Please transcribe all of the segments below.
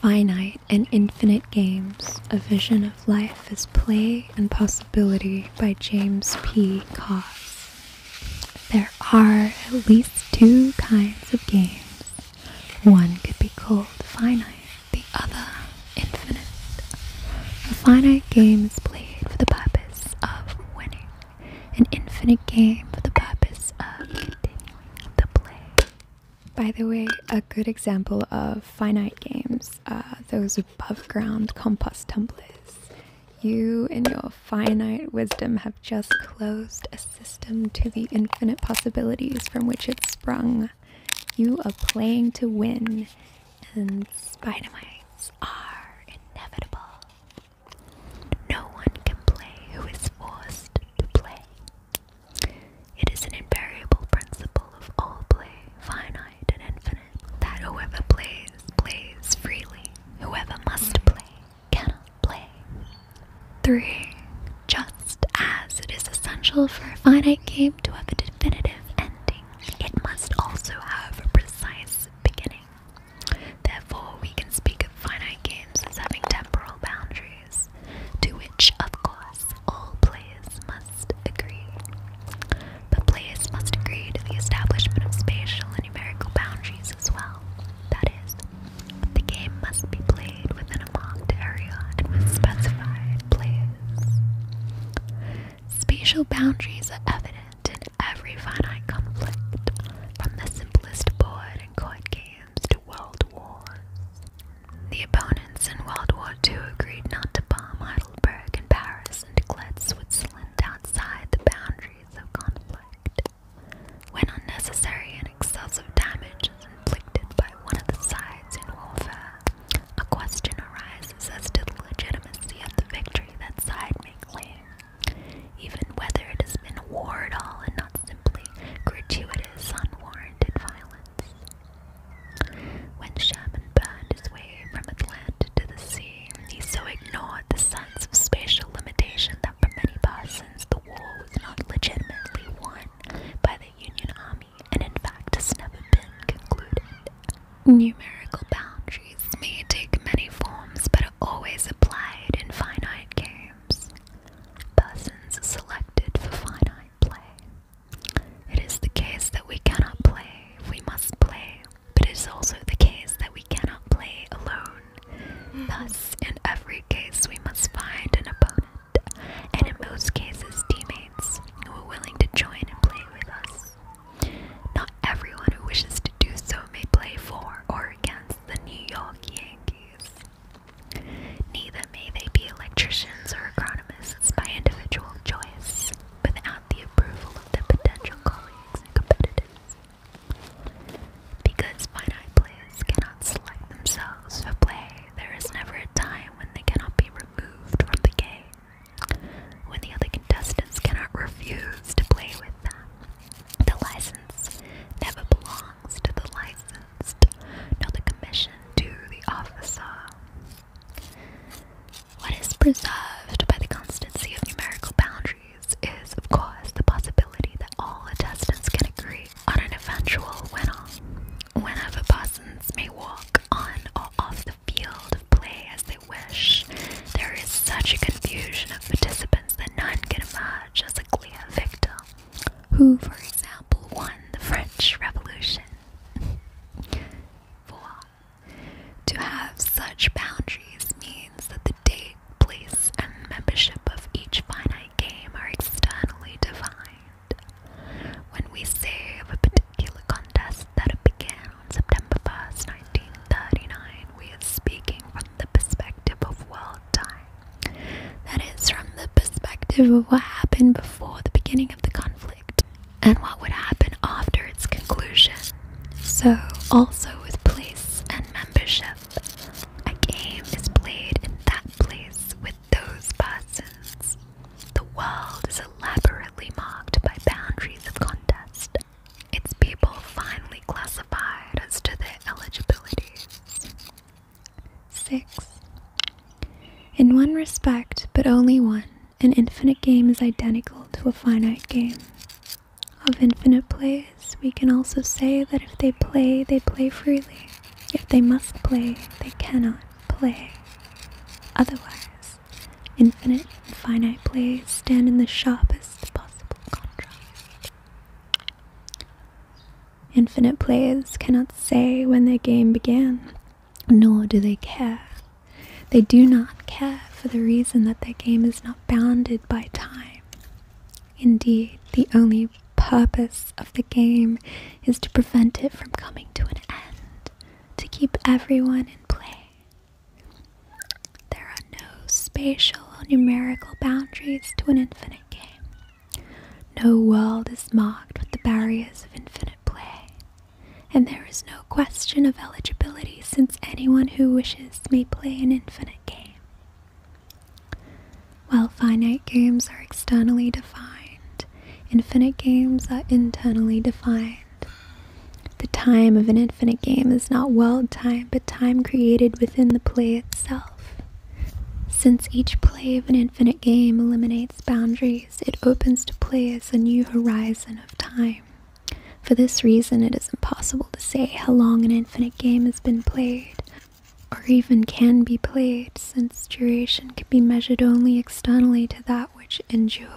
Finite and Infinite Games, A Vision of Life as Play and Possibility by James P. Koss. There are at least two kinds of games. One could be called finite, the other infinite. A finite game is played for the purpose of winning, an infinite game for the purpose of continuing the play. By the way, a good example of finite games uh, those above ground compost tumblers. You, in your finite wisdom, have just closed a system to the infinite possibilities from which it sprung. You are playing to win, and spider mites are inevitable. No one can play who is forced to play. It is an invariable principle of all play, finite and infinite, that whoever plays, plays freely. Whoever must play, cannot play. 3. Just as it is essential for a finite game to have a definitive ending, it must also have a precise beginning. Therefore, we can speak of finite games as having temporal boundaries to which, of course, all players must agree. But players must agree to the establishment of spatial and numerical boundaries as well. That is, the game must be played within a marked area and with specified players. Spatial boundaries are evident in every finite conflict, from the simplest board and court games to world wars. The opponents in World War II agreed not to bomb Heidelberg and Paris and to let Switzerland outside the boundaries of conflict. When unnecessary and excessive damage is inflicted by one of the sides in warfare, a question arises as to the legitimacy of the victory that side may claim, even whether it has been a war at all and not simply gratuitous, unwarranted warranted violence. When Shaman burned his way from Atlantis to the sea, he so ignored the sense of spatial limitation that for many persons the war was not legitimately won by the Union Army and in fact has never been concluded. Numerical boundaries may take many forms but are always applied in finite games games. Persons selected for finite play. It is the case that we cannot play, we must play, but it is also the case that we cannot play alone. Thus, in every case, we must find an opponent, and in most cases, teammates who are willing to join and play with us. Not everyone who wishes to do so may play for or against the New York Yankees. Neither may they be electricians or agronomists by individual choice, without the approval of their potential colleagues and competitors. Because finite players cannot select themselves for play, there is never a time when they cannot be removed from the game, when the other contestants cannot refuse to play with them. The license never belongs to the licensed entrust the commission to the officer. What is preserved by the constancy of numerical boundaries is, of course, the possibility that all attestants can agree on an eventual winner. Whenever persons may walk on or off the field of play as they wish, there is such a confusion of participants that none can emerge as a clear victor who, for example, won the French Revolution. 4. To have such boundaries means that the date, place, and membership of each finite game are externally defined. When we say of a particular contest that it began on September 1st, 1939, we are speaking from the perspective of world time. That is, from the perspective of what happened before the beginning of the conflict and what would happen after its conclusion. So, also with place and membership, a game is played in that place with those persons. The world is elaborately marked by boundaries of contest, its people finally classified as to their eligibilities. 6. In one respect, but only one, an infinite game is identical to a finite game. Of infinite plays, we can also say that if they play, they play freely. If they must play, they cannot play. Otherwise, infinite and finite plays stand in the sharpest possible contrast. Infinite players cannot say when their game began, nor do they care. They do not care for the reason that their game is not bounded by time. Indeed, the only purpose of the game is to prevent it from coming to an end, to keep everyone in play. There are no spatial or numerical boundaries to an infinite game. No world is marked with the barriers of infinite play, and there is no question of eligibility since anyone who wishes may play an infinite game. While finite games are externally defined, infinite games are internally defined. The time of an infinite game is not world time, but time created within the play itself. Since each play of an infinite game eliminates boundaries, it opens to play as a new horizon of time. For this reason, it is impossible to say how long an infinite game has been played, or even can be played, since duration can be measured only externally to that which endures.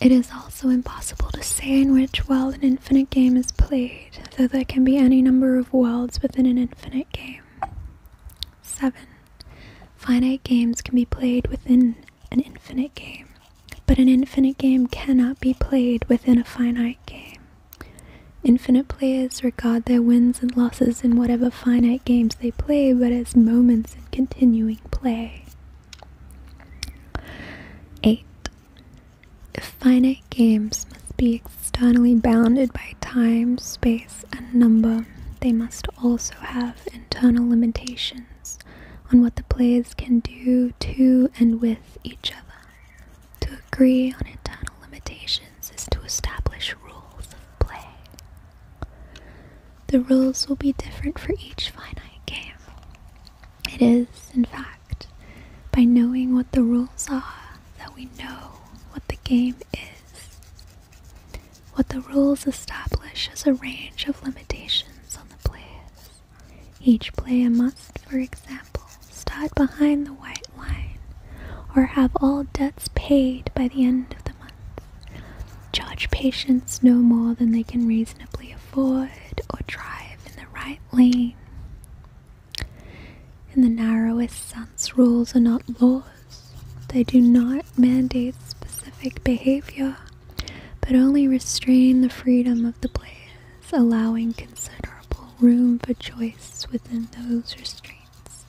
It is also impossible to say in which world an infinite game is played, though there can be any number of worlds within an infinite game. 7. Finite games can be played within an infinite game, but an infinite game cannot be played within a finite game. Infinite players regard their wins and losses in whatever finite games they play but as moments in continuing play. 8. Finite games must be externally bounded by time, space, and number, they must also have internal limitations on what the players can do to and with each other. To agree on internal limitations is to establish rules of play. The rules will be different for each finite game. It is, in fact, by knowing what the rules are that we know what the game is. What the rules establish is a range of limitations on the players. Each player must, for example, start behind the white line or have all debts paid by the end of the month. Charge patients no more than they can reasonably afford or drive in the right lane. In the narrowest sense, rules are not laws they do not mandate specific behavior, but only restrain the freedom of the players, allowing considerable room for choice within those restraints.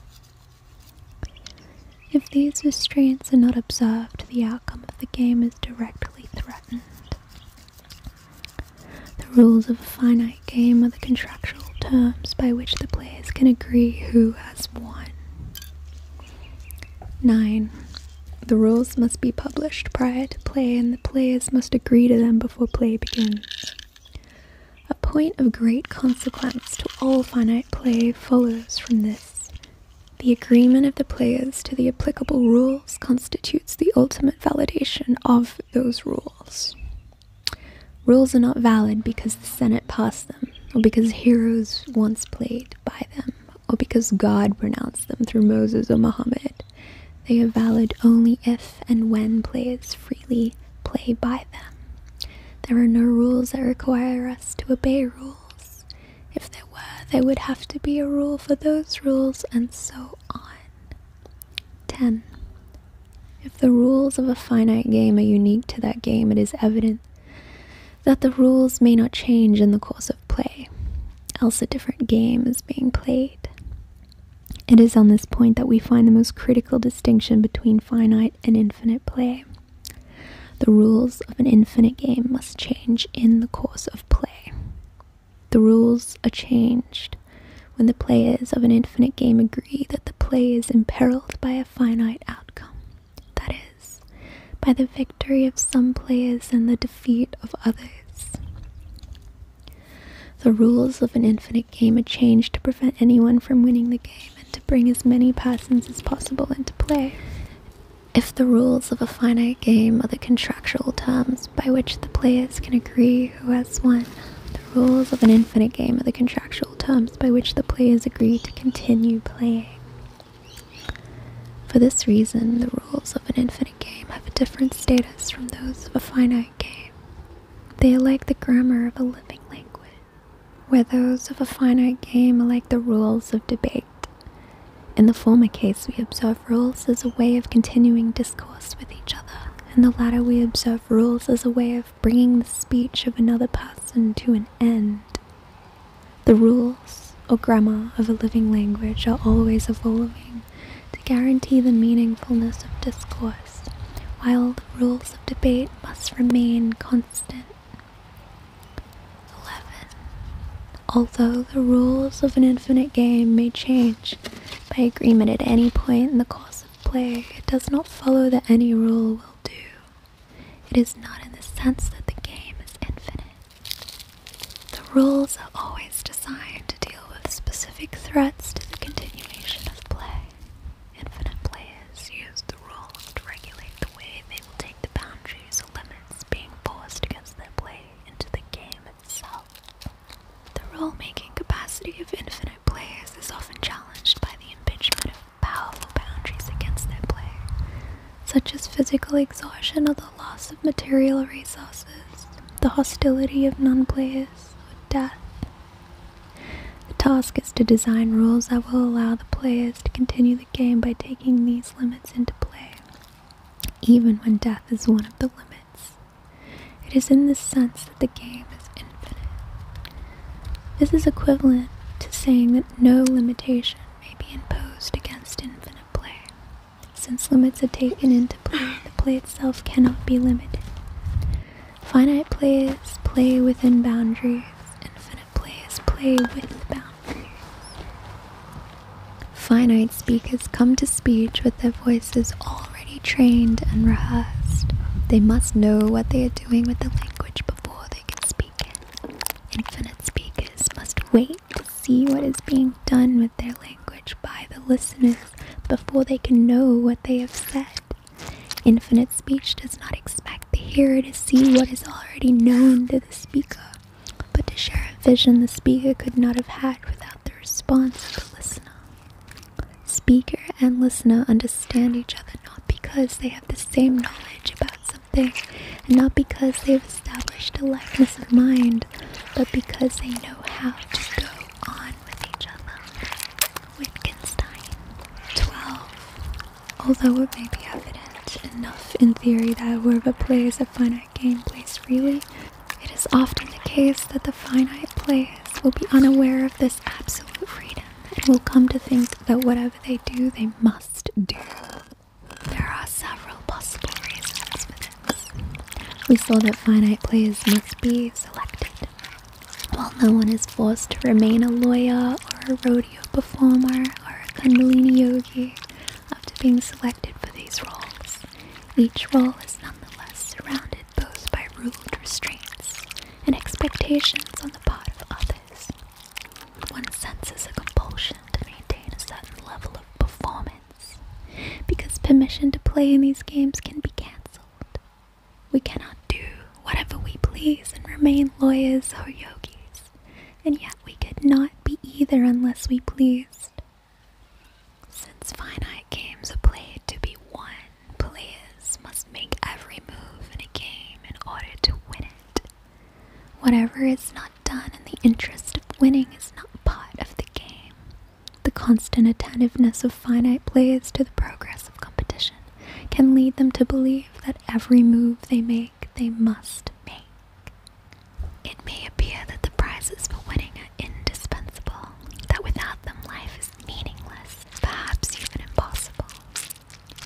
If these restraints are not observed, the outcome of the game is directly threatened. The rules of a finite game are the contractual terms by which the players can agree who has won. 9. The rules must be published prior to play and the players must agree to them before play begins. A point of great consequence to all finite play follows from this. The agreement of the players to the applicable rules constitutes the ultimate validation of those rules. Rules are not valid because the Senate passed them, or because heroes once played by them, or because God pronounced them through Moses or Muhammad. They are valid only if and when players freely play by them. There are no rules that require us to obey rules. If there were, there would have to be a rule for those rules, and so on. 10. If the rules of a finite game are unique to that game, it is evident that the rules may not change in the course of play, else a different game is being played. It is on this point that we find the most critical distinction between finite and infinite play. The rules of an infinite game must change in the course of play. The rules are changed when the players of an infinite game agree that the play is imperiled by a finite outcome, that is, by the victory of some players and the defeat of others. The rules of an infinite game are changed to prevent anyone from winning the game and to bring as many persons as possible into play. If the rules of a finite game are the contractual terms by which the players can agree who has won, the rules of an infinite game are the contractual terms by which the players agree to continue playing. For this reason, the rules of an infinite game have a different status from those of a finite game. They are like the grammar of a living language, where those of a finite game are like the rules of debate. In the former case, we observe rules as a way of continuing discourse with each other. In the latter, we observe rules as a way of bringing the speech of another person to an end. The rules or grammar of a living language are always evolving to guarantee the meaningfulness of discourse, while the rules of debate must remain constant. 11. Although the rules of an infinite game may change by agreement at any point in the course of play, it does not follow that any rule will do. It is not in the sense that the game is infinite. The rules are always designed to deal with specific threats to the continuation of play. Infinite players use the rules to regulate the way they will take the boundaries or limits being forced against their play into the game itself. The rule making capacity of infinite players is often challenged by the impingement of powerful boundaries against their play, such as physical exhaustion or the loss of material resources, the hostility of non players, or death. The task is to design rules that will allow the players to continue the game by taking these limits into play, even when death is one of the limits. It is in this sense the game is infinite. This is equivalent to saying that no limitation may be imposed against infinite play. Since limits are taken into play, the play itself cannot be limited. Finite play is play within boundaries, infinite play is play with boundaries. Finite speakers come to speech with their voices already trained and rehearsed. They must know what they are doing with the language language before they can speak it. Infinite speakers must wait to see what is being done with their language by the listeners before they can know what they have said. Infinite speech does not expect the hearer to see what is already known to the speaker, but to share a vision the speaker could not have had without the response of the listener. Speaker and listener understand each other not because they have the same knowledge about something, and not because they've established a likeness of mind, but because they know how to go on with each other. Wittgenstein 12. Although it may be evident enough in theory that whoever plays a finite game plays freely, it is often the case that the finite players will be unaware of this absolute freedom and will come to think that whatever they do, they must do. There are several possible reasons for this. We saw that finite players must be selected. While no one is forced to remain a lawyer or a rodeo performer or a kundalini yogi after being selected for these roles, each role is nonetheless surrounded both by ruled restraints and expectations on the part of others. One senses a compulsion to maintain a certain level of performance because permission to play in these games can be cancelled. We cannot do whatever we please and remain lawyers or yogis, and yet we could not be either unless we pleased. Since finite games are played to be won, Players must make every move in a game in order to win it. Whatever is not done in the interest of winning is not part of the game. The constant attentiveness of finite players to the progress of competition can lead them to believe that every move they make, they must make. It may appear that the prizes for winning are indispensable, that without them life is meaningless, perhaps even impossible.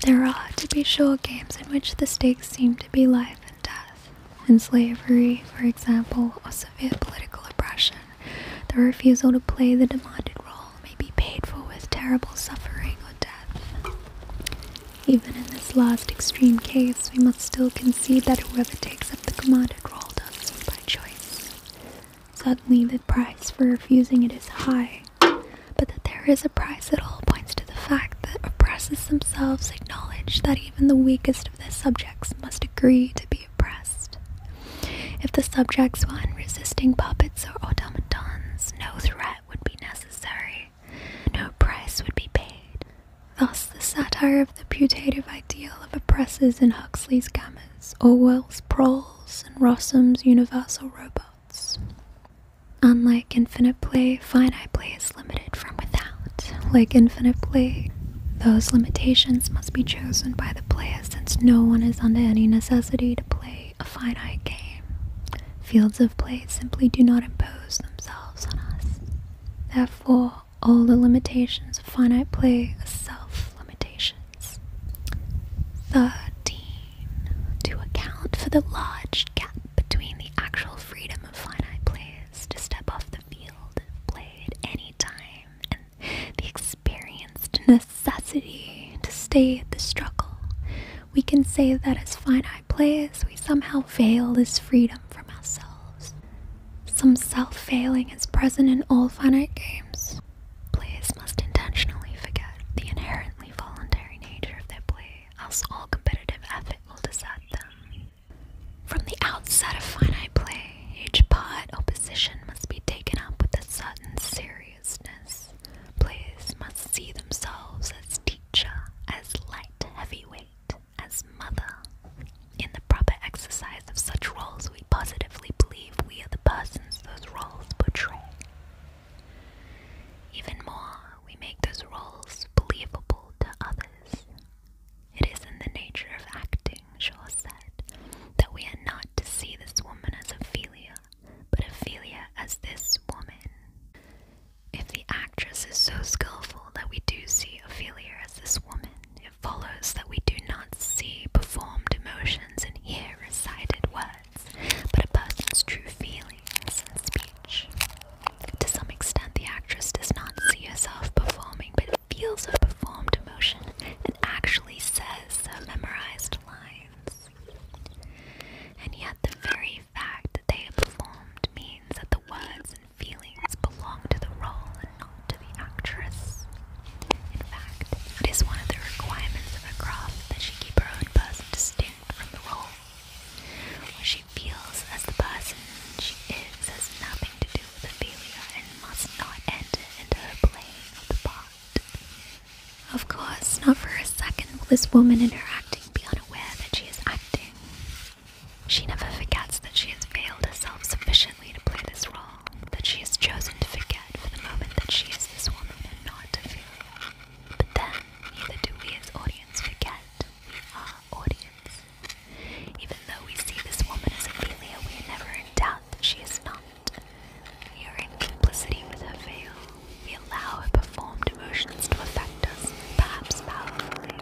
There are, to be sure, games in which the stakes seem to be life and death. In slavery, for example, or severe political oppression, the refusal to play the demanded role may be paid for with terrible suffering or death. Even in this last extreme case, we must still concede that whoever takes up the commanded role does so by choice. Suddenly, the price for refusing it is high, but that there is a price at all points to the fact that oppressors themselves acknowledge that even the weakest of their subjects must agree to be oppressed. If the subjects were unresisting puppets or automatons, no threat would be necessary, no price would be paid. Thus, the satire of the putative ideal of oppressors in Huxley's Gammas, Orwell's Proles, and Rossum's Universal Robot Unlike Infinite Play, finite play is limited from without. Like Infinite Play, those limitations must be chosen by the player since no one is under any necessity to play a finite game. Fields of play simply do not impose themselves on us. Therefore, all the limitations of finite play are self limitations. Thirteen. To account for the large gap between the actual freedom of finite players to step off the field and play at any time and the experienced necessity to stay at the struggle, we can say that as finite players we somehow veil this freedom from ourselves. Some self failing is present in all finite games. Players must intentionally forget the inherently voluntary nature of their play, else all competitive effort will desert them. From the outset of finite play, each part opposition must be taken up with a certain seriousness. Players must see themselves as teacher, as light heavyweight, as mother. In the proper exercise of such roles, we positively believe we are the persons those roles portray. Even more, we make those roles believable to others. It is in the nature of acting, Shaw said, that we are not to see this woman as Ophelia, but Ophelia as this woman. If the actress is so skillful that we do see Ophelia as this woman, it follows that we do not see performed emotions in hear recited words words, but a person's true feelings and speech. To some extent, the actress does not see herself performing, but feels her performed emotion and actually says her memorized lines. And yet, the very fact that they are performed means that the words and feelings belong to the role and not to the actress. In fact, it is one of the requirements of craft that she keep her own person distinct from the whole. What she feels as the person she is has nothing to do with Ophelia and must not enter into her playing of the part. Of course, not for a second will this woman in her acting be unaware that she is acting. She never forgets that she has failed herself sufficiently to play this role, that she has chosen to forget for the moment that she is this woman and not a Ophelia. But then, neither do we as audience forget we are audience. Even though we see this woman as a failure, we are never in doubt that she is not. We are in complicity with her veil. We allow her performed emotions to affect us, perhaps powerfully,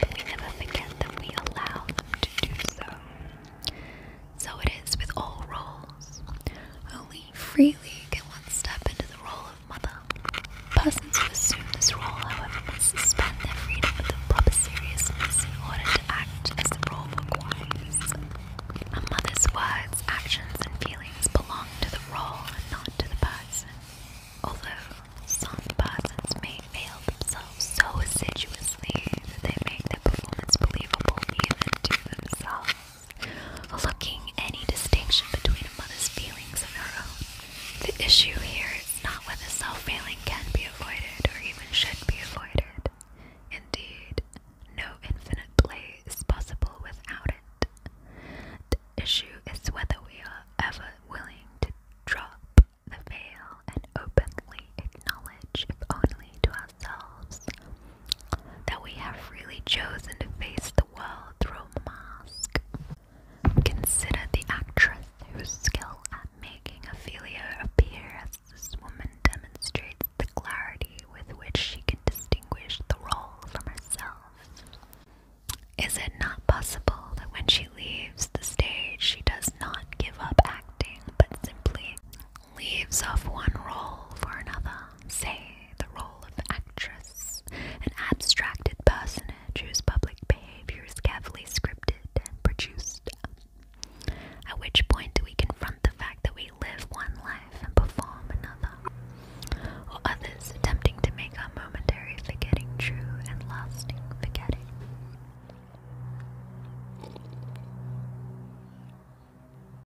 but we never forget that we allow them to do so. So it is with all roles. Only freely can one step into the role of mother. Persons who assume this role, however, must suspend their freedom with the proper seriousness in order to act as the role requires. A mother's words, actions, and feelings belong to the role and not to the person. Although some persons may fail themselves so assiduously that they make their performance believable even to themselves looking any distinction between a mother's feelings and her own. The issue here is not whether self failing can be avoided or even should be avoided. Indeed, no infinite play is possible without it. The issue is whether we are ever willing to drop the veil and openly acknowledge, if only to ourselves, that we have really chosen to face the world through a mask. Consider the actress whose skill at making Ophelia appear as this woman demonstrates the clarity with which she can distinguish the role from herself. Is it not possible that when she leaves the stage, she does not give up acting but simply leaves off one role for another, say the role of actress, an abstracted personage whose public behavior is carefully scripted and produced. At which point do we confront the fact that we live one life and perform another, or others attempting to make our momentary forgetting true and lasting forgetting?